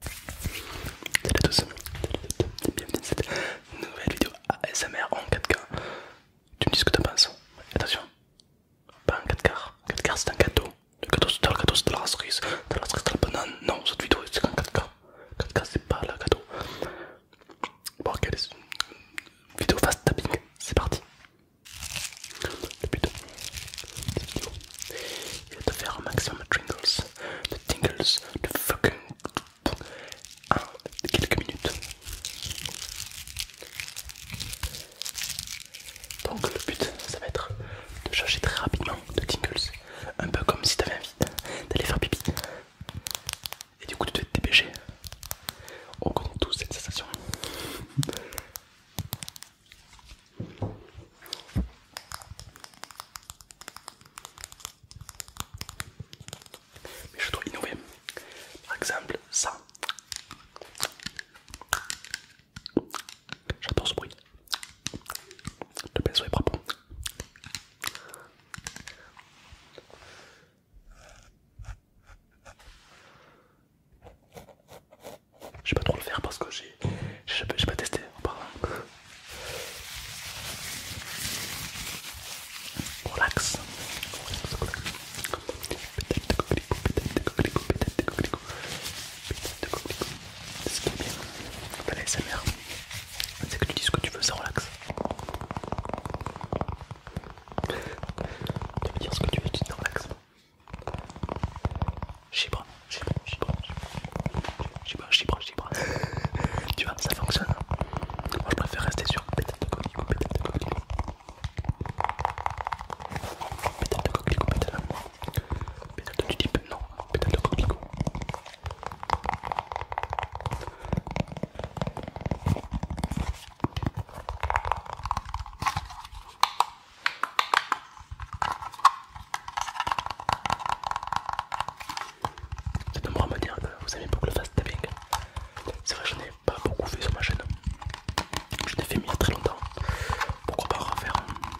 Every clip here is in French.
Salut à tous, bienvenue dans cette nouvelle vidéo ASMR en 4K. Tu me dis ce que tu penses, attention, pas en 4K, 4K c'est un gâteau, le gâteau c'est le cadeau, c'est de la cerise, de la cerise de la banane, non cette vidéo c'est en 4K, 4K c'est pas le gâteau. Bon ok, vidéo fast tapping, c'est parti. cette vidéo va te faire un maximum de tingles, de tingles, de fucking en quelques minutes. Donc le but ça va être de chercher très rapidement de tingles, un peu comme si t'avais avais envie d'aller faire pipi et du coup tu te dépêcher. On connaît tous cette sensation. Mais je dois innover. Par exemple, ça. J'adore ce bruit. Le pinceau est propre. Je vais pas trop le faire parce que j'ai pas testé auparavant. Relax. Peut-être de coquelicot, peut-être de coquelicot, peut-être de coquelicot. C'est ce qui est bien dans l'ASMR. C'est que tu dis ce que tu veux, ça relax. Tu veux dire ce que tu veux, tu relax. Chibre, chibre, chibre, chibre, chibre, chibre. Tu vois, ça fonctionne. Moi je préfère rester sur pétale de coquelicot, pétale de coquelicot. Pétale de coquelicot, pétale. Pétale de tulipe, non, pétale de coquelicot moi me dire euh, que vous aimez beaucoup le fast tapping. C'est vrai, je n'ai pas beaucoup fait sur ma chaîne. Je l'ai fait très longtemps. Pourquoi pas refaire un hein.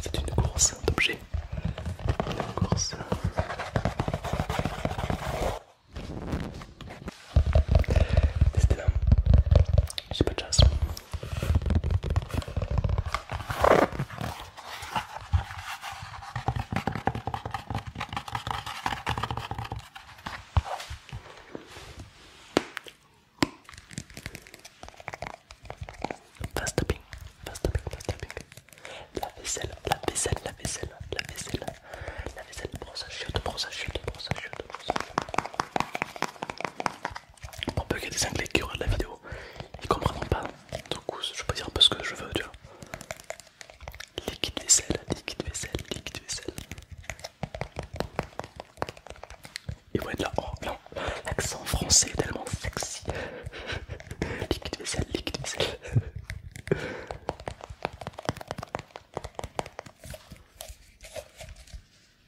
C'est une course d'objets. testez course. j'ai pas de chance. Fast tapping, fast tapping, fast tapping. La vaisselle, la vaisselle, la vaisselle, la vaisselle, la vaisselle, brosse à chiottes, brosse à chiottes, brosse à chiottes, brosse à chute. Pour peut qu'il y ait des anglais qui regardent la vidéo, ils comprennent pas. donc je peux dire un peu ce que je veux, tu vois. Liquide vaisselle, liquide vaisselle, liquide vaisselle. Ils vont là, oh non, l'accent français est tellement sexy. liquide vaisselle, liquide vaisselle.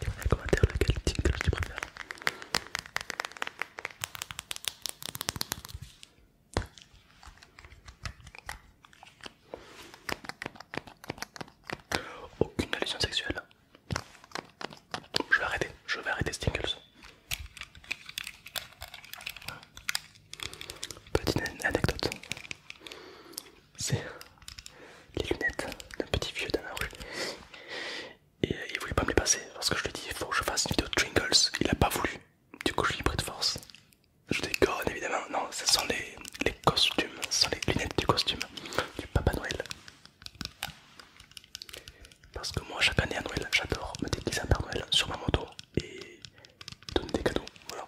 Dis-moi dans les commentaires lequel tingles tu préfères. Aucune allusion sexuelle. Je vais arrêter, je vais arrêter Stingles. Petite anecdote c'est les lunettes d'un petit vieux dans la rue. Et euh, il voulait pas me les passer parce que je lui ai dit il faut que je fasse une vidéo de Il a pas voulu. Du coup, je lui ai pris de force. Je déconne évidemment. Non, ce sont les, costumes, ce sont les lunettes du costume du Papa Noël. Parce que moi, chaque année à Noël, j'adore me déguiser en Père Noël sur ma moto et donner des cadeaux. Voilà.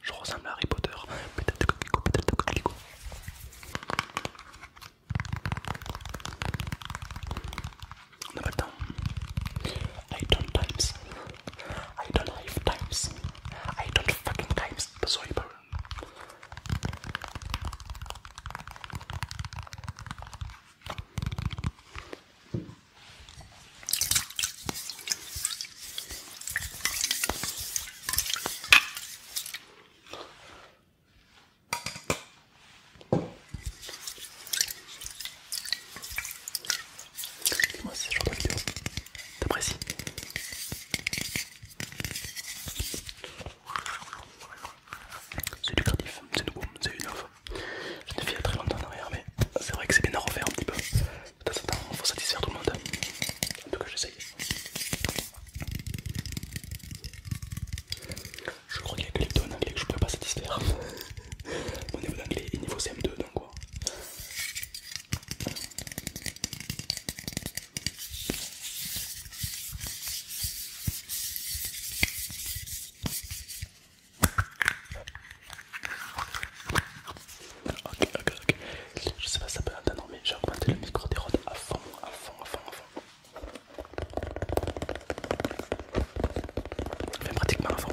Je ressemble à Harry Potter. On I don't have times. I don't fucking times. Moi si ce de. de vidéo c'est lucratif, c'est nouveau, c'est une offre. Je l'ai fait il très longtemps en arrière, mais c'est vrai que c'est bien à refaire un petit peu. De temps en temps, il faut satisfaire tout le monde. En tout cas, j'essaye. Je crois qu'il y a que les deux en anglais que je ne peux pas satisfaire. Mon niveau d'anglais est niveau CM2, donc quoi. Ok, ok, ok. Je sais pas si ça peut attendre, mais j'ai augmenté le micro des rods à fond, à fond, à fond, à fond. pratiquement à fond.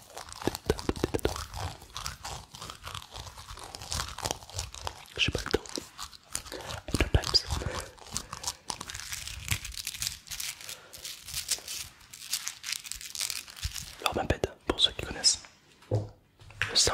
J'ai pas le temps. bête pour ceux qui connaissent. Le sang.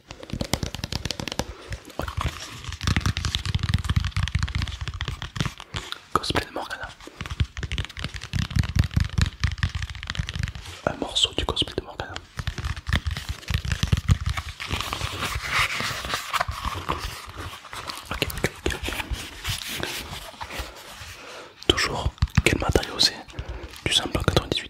Cosplay de Morgana. Un morceau du cosplay de Morgana. Toujours, quel matériau c'est Du dix 98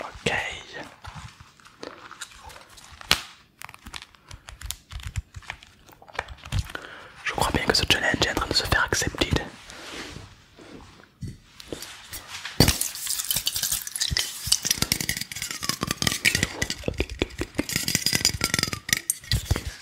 Ok. Je crois bien que ce challenge est en train de se faire accepter.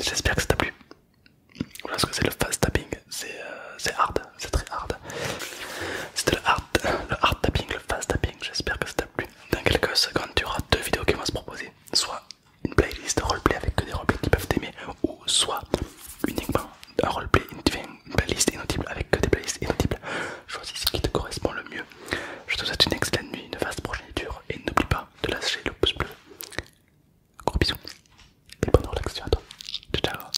J'espère que ça t'a plu. Voilà ce que c'est le fast tapping. Euh, c'est hard, c'est très hard. C'était le hard, le hard tapping, le fast tapping, j'espère que ça t'a plu. Dans quelques secondes, tu auras deux vidéos qui vont se proposer. Soit une playlist roleplay avec que des roleplays qui peuvent t'aimer, ou soit uniquement un roleplay, une playlist inaudible avec que des playlists inaudibles. Choisis ce qui te correspond le mieux. Je te souhaite une excellente nuit, une vaste progéniture et n'oublie pas de lâcher le pouce bleu. Gros bisous et bonne relaxation à toi. ciao